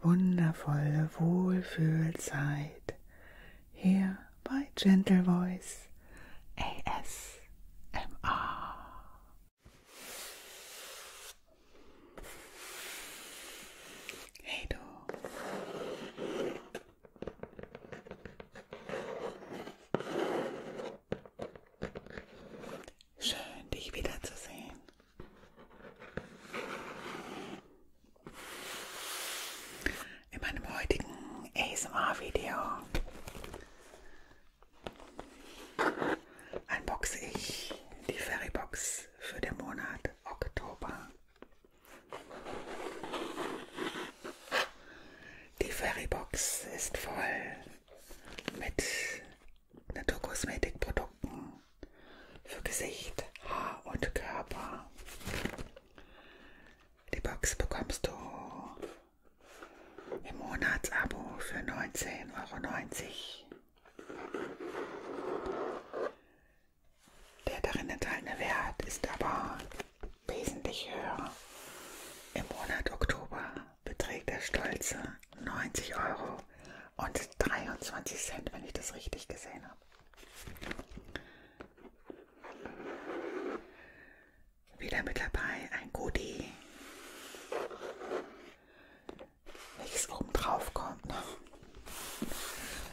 wundervolle Wohlfühlzeit hier bei Gentle Voice ASMR. Hey du. Schön dich wiederzusehen. In meinem heutigen ASMR-Video unboxe ich die Ferrybox für den Monat Oktober. Die Ferrybox ist voll mit Naturkosmetikprodukten für Gesicht, Haar und Körper. Die Box bekommst du im Monatsabo für 19,90 Euro. Der darin enthaltene Wert ist aber wesentlich höher. Im Monat Oktober beträgt der stolze 90 Euro. Euro und 23 Cent, wenn ich das richtig gesehen habe. Wieder mit dabei ein Goodie. Nichts oben drauf kommt noch. Ne?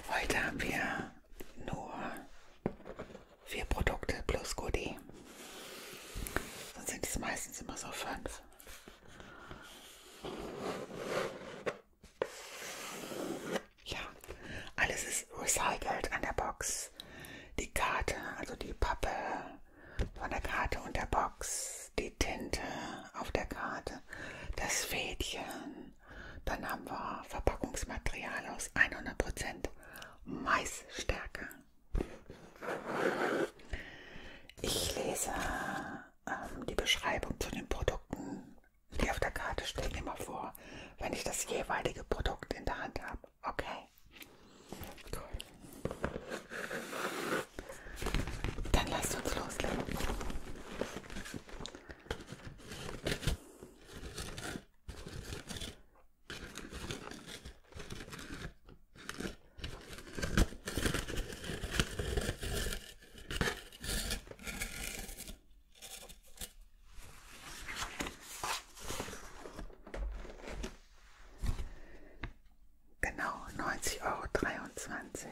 Heute haben wir nur vier Produkte plus Goodie. Sonst sind es meistens immer so fünf. Ja, alles ist recycelt an der Box. Die Karte, also die Pappe von der Karte und der Box, die Tinte auf der Karte, das Fädchen. Dann haben wir Verpackungsmaterial aus 100% Maisstärke. Ich lese ähm, die Beschreibung zu den Produkten, die auf der Karte stehen, immer vor, wenn ich das jeweilige Produkt in der Hand habe. Okay. Cool. Dann lasst uns loslegen. Genau, neunzig Euro. dreiundzwanzig.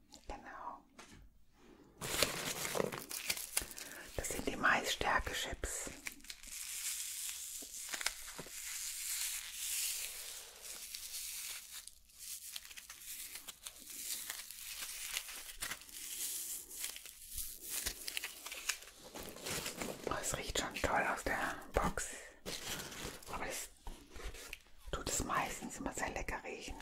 Genau. Das sind die Maisstärke-Chips. Oh, es riecht schon toll aus der Box. Aber das tut es meistens immer sehr lecker riechen.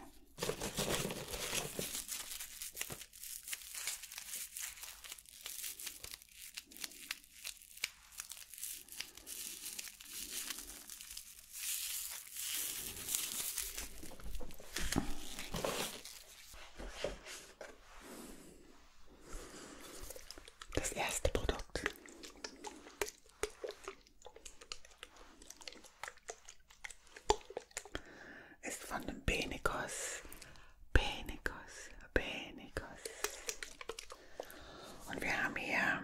Das erste Produkt ist von dem Benikos. Benikos, Benikos. Und wir haben hier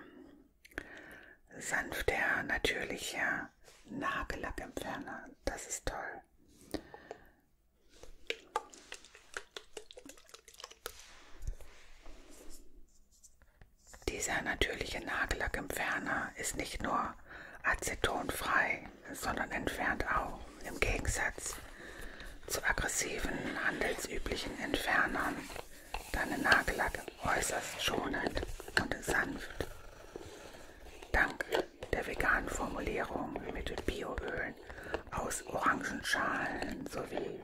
sanfter, natürlicher Nagellackentferner. Das ist toll. Dieser natürliche Nagellackentferner ist nicht nur acetonfrei, sondern entfernt auch im Gegensatz zu aggressiven, handelsüblichen Entfernern deinen Nagellack äußerst schonend und sanft. Dank der veganen Formulierung mit Bioölen aus Orangenschalen sowie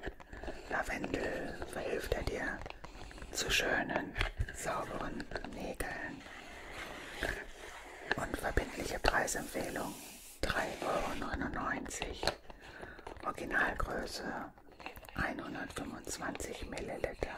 Lavendel verhilft er dir zu schönen, sauberen Nägeln. Und verbindliche Preisempfehlung 3,99 Euro. Originalgröße 125 Milliliter.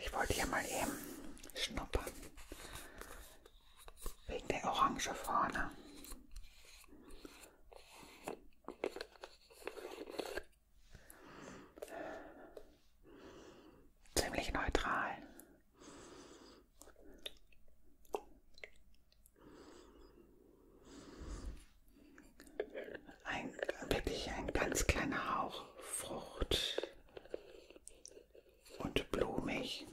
Ich wollte hier mal eben schnuppern. Wegen der Orange vorne. Ziemlich neutral. Ein, wirklich ein ganz kleiner Hauch Frucht und blumig.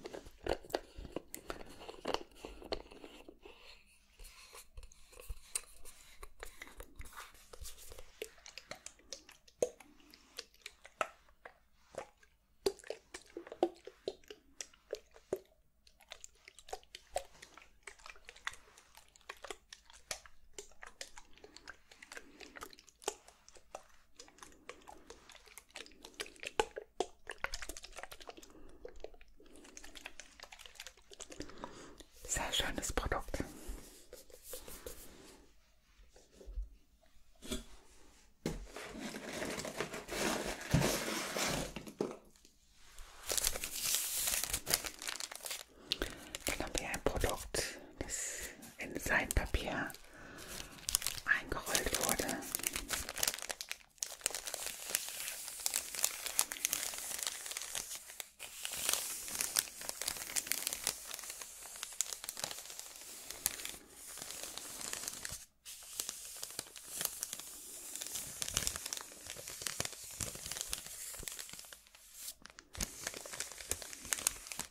Sehr schönes Produkt. Dann haben wir ein Produkt das in Seitpapier eingerollt wurde.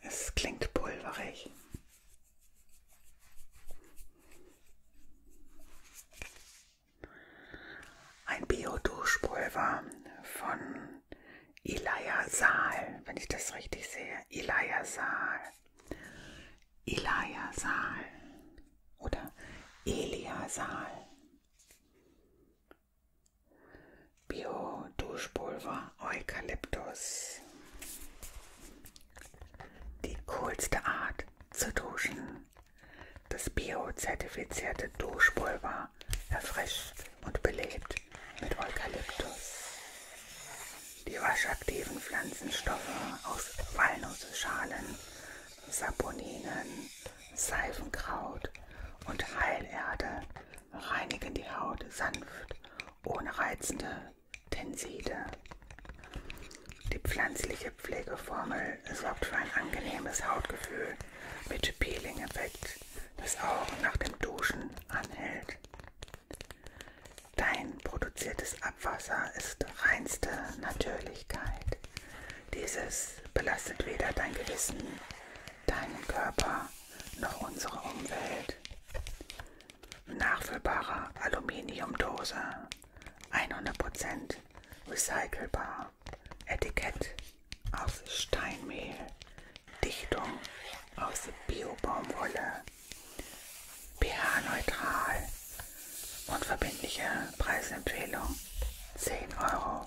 Es klingt pulverig. Ein Bio-Duschpulver von Ilaya Saal, wenn ich das richtig sehe. Ilaya Saal. Ilaya Saal. Oder Elia Saal. Bio-Duschpulver Eukalyptus. Die coolste Art zu duschen. Das bio-zertifizierte Duschpulver erfrischt und belebt mit Eukalyptus. Die waschaktiven Pflanzenstoffe aus Walnussschalen, Saponinen, Seifenkraut und Heilerde reinigen die Haut sanft, ohne reizende Tenside. Die pflanzliche Pflegeformel sorgt für ein angenehmes Hautgefühl mit Peeling-Effekt, das auch nach dem Duschen anhält. Dein produziertes Abwasser ist reinste Natürlichkeit. Dieses belastet weder dein Gewissen deinen Körper noch unsere Umwelt. Nachfüllbare Aluminiumdose, 100% recycelbar. Etikett aus Steinmehl, Dichtung aus Biobaumwolle, pH-neutral und verbindliche Preisempfehlung 10,40 Euro.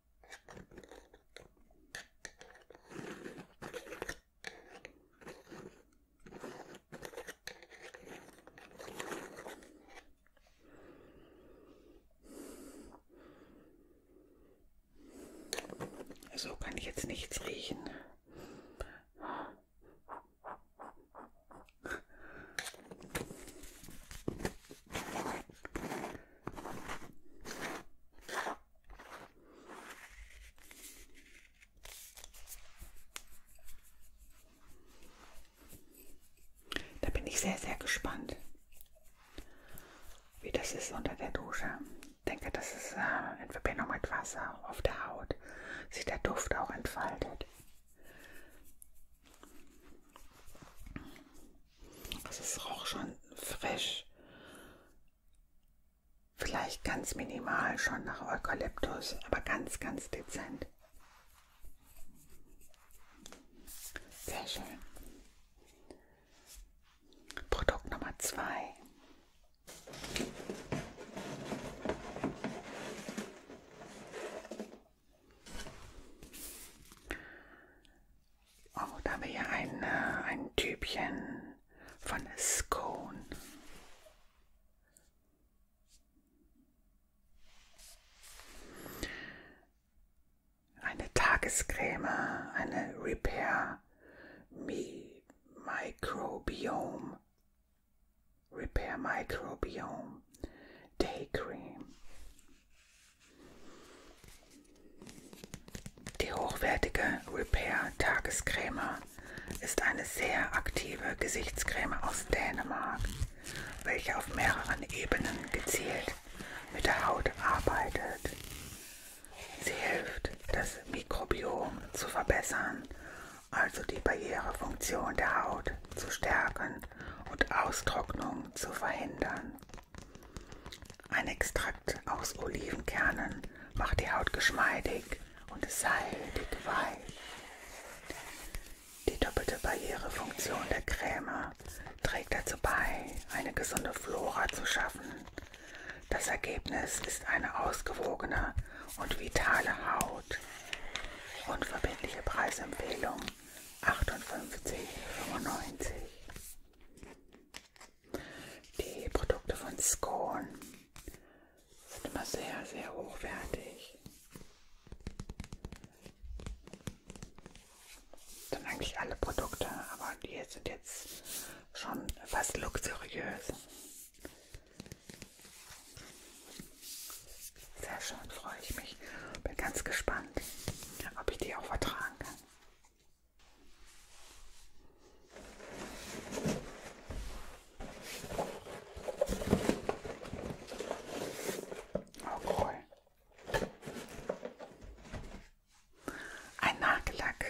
So kann ich jetzt nichts riechen. Da bin ich sehr, sehr gespannt, wie das ist unter der Dusche. Ich denke, das ist äh, in Verbindung mit Wasser auf der Haut, sich der Duft auch entfaltet. Also es roch schon frisch. Vielleicht ganz minimal schon nach Eukalyptus, aber ganz, ganz dezent. Sehr schön. Produkt Nummer zwei. Oh, da haben wir hier ein, äh, ein Typchen von Scone. Eine Tagescreme, eine Repair Mi Microbiome. Repair Microbiome Day Cream. Die hochwertige Repair Tagescreme ist eine sehr aktive Gesichtscreme aus Dänemark, welche auf mehreren Ebenen gezielt mit der Haut arbeitet. Sie hilft, das Mikrobiom zu verbessern, also die Barrierefunktion der Haut zu stärken und Austrocknung zu verhindern. Ein Extrakt aus Olivenkernen macht die Haut geschmeidig und seidig weich. Die doppelte Barrierefunktion der Creme trägt dazu bei, eine gesunde Flora zu schaffen. Das Ergebnis ist eine ausgewogene und vitale Haut. Unverbindliche Preisempfehlung 58,95. Die Produkte von Scone sind immer sehr, sehr hochwertig. Dann eigentlich alle Produkte, aber die sind jetzt schon fast luxuriös. Sehr schön, freue ich mich. Bin ganz gespannt, ob ich die auch vertragen kann. Oh cool. Ein Nagellack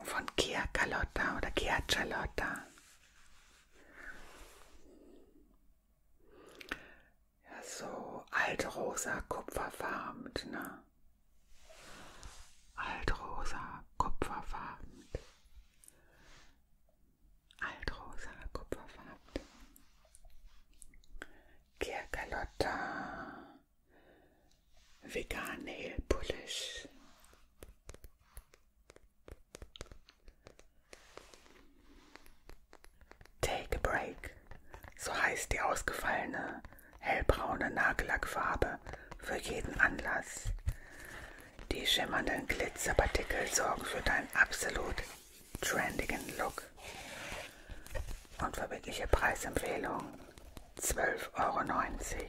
von Kia Carlotta oder Kia Charlotta. Ja, so altrosa kupferfarben, ne? Altrosa kupferfarben. Altrosa kupferfarben. Kirkalotta. Vegan Nail Polish. Take a Break, so heißt die ausgefallene hellbraune Nagellackfarbe für jeden Anlass. Die schimmernden Glitzerpartikel sorgen für deinen absolut trendigen Look. Und verbindliche Preisempfehlung 12,90 Euro.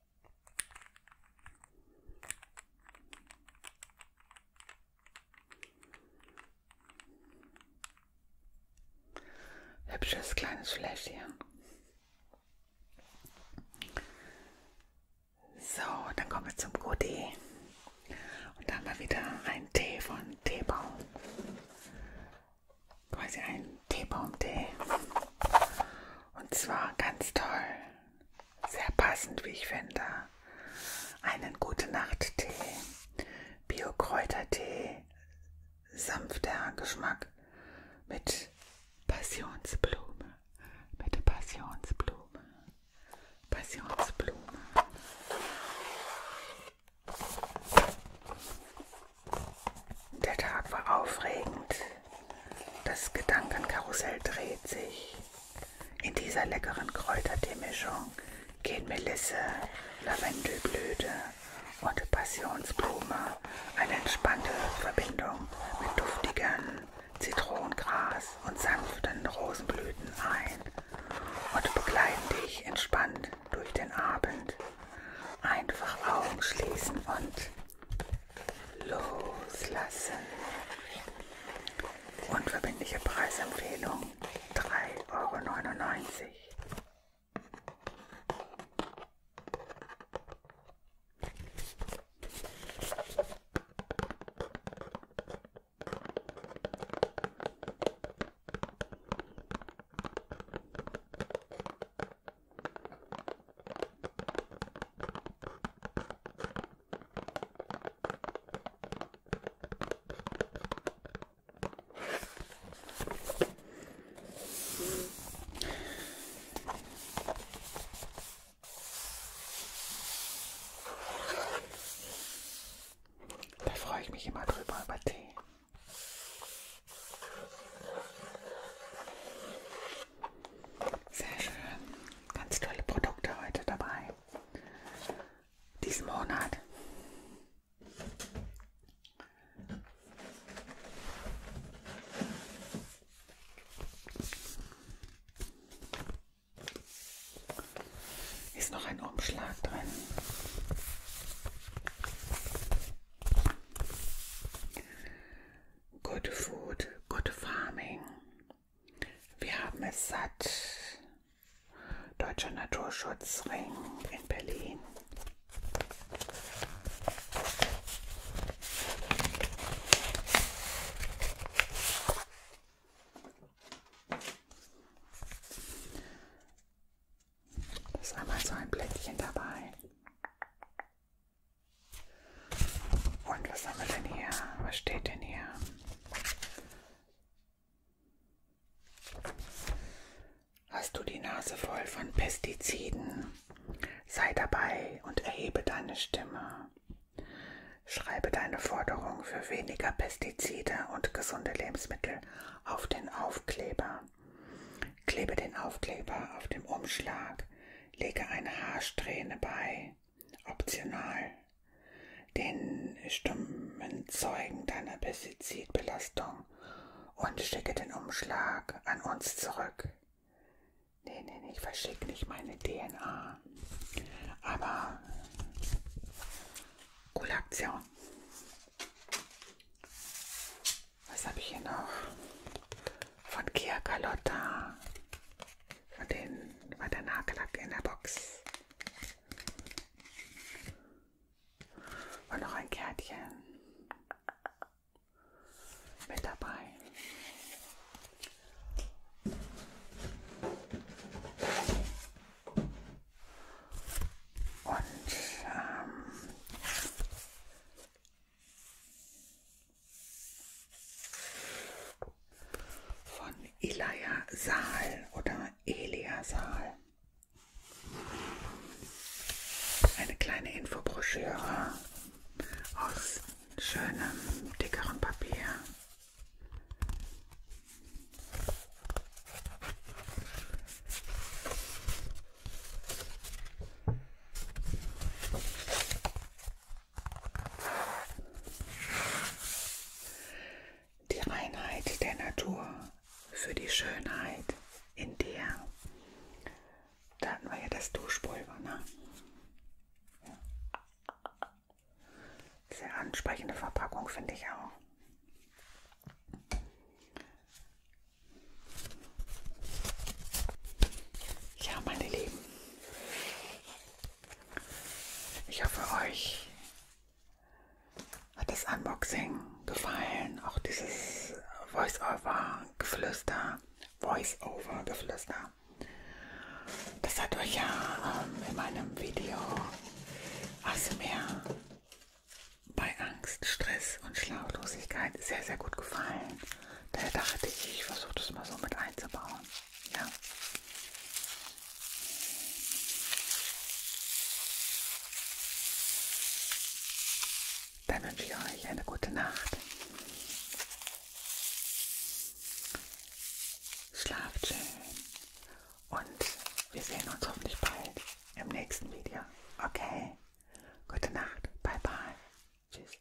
Hübsches kleines Fläschchen. So, dann kommen wir zum Goodie. Und da haben wir wieder einen Tee von Teebaum. Quasi ein Teebaumtee. Und zwar ganz toll sehr passend, wie ich finde, einen Gute-Nacht-Tee, Bio-Kräutertee, sanfter Geschmack mit Passionsblume, mit Passionsblume, Passionsblume. Der Tag war aufregend. Das Gedankenkarussell dreht sich. In dieser leckeren Kräutertee-Mischung gehen Melisse, Lavendelblüte und Passionsblume eine entspannte Verbindung mit duftigen Zitronengras und sanften Rosenblüten ein und begleiten dich entspannt durch den Abend. Einfach Augen schließen und loslassen. Unverbindliche Preisempfehlung 3,99 Euro. Da freue ich mich immer drüber über Tee. Sehr schön. Ganz tolle Produkte heute dabei. Diesen Monat. Ist noch ein Umschlag drin. Good Food, Good Farming. Wir haben es satt. Deutscher Naturschutzring in Berlin. Da ist einmal so ein Blättchen dabei. Und was haben wir denn hier? Was steht denn hier? Hast du die Nase voll von Pestiziden? Sei dabei und erhebe deine Stimme. Schreibe deine Forderung für weniger Pestizide und gesunde Lebensmittel auf den Aufkleber. Klebe den Aufkleber auf dem Umschlag. Lege eine Haarsträhne bei optional, den stummen Zeugen deiner Pestizidbelastung und schicke den Umschlag an uns zurück. Nee, nee, nee, ich verschicke nicht meine DNA. Aber coole Aktion. Was habe ich hier noch? von Kia Carlotta. Von denen war der Nagellack in der Box. Und noch ein Kärtchen mit dabei. Und ähm, von Elia Saal oder Elia Saal. Eine kleine Infobroschüre aus schönem, dickeren Papier. Die Reinheit der Natur für die Schönheit in dir. Da hatten wir ja das Duschpulver, ne? Ja. Sehr ansprechende Verpackung, finde ich auch. Ja, meine Lieben, ich hoffe, euch hat das Unboxing gefallen, auch dieses Voice-Over-Geflüster, Voice-Over-Geflüster. Das hat euch ja ähm, in meinem Video ASMR bei Angst, Stress und Schlaflosigkeit sehr, sehr gut gefallen. Da dachte ich, ich versuche das mal so mit einzubauen. Ja. Dann wünsche ich euch eine gute Nacht. Schlaft schön. Und wir sehen uns hoffentlich bald im nächsten Video. Okay. Gute Nacht. Bye bye. Tschüss.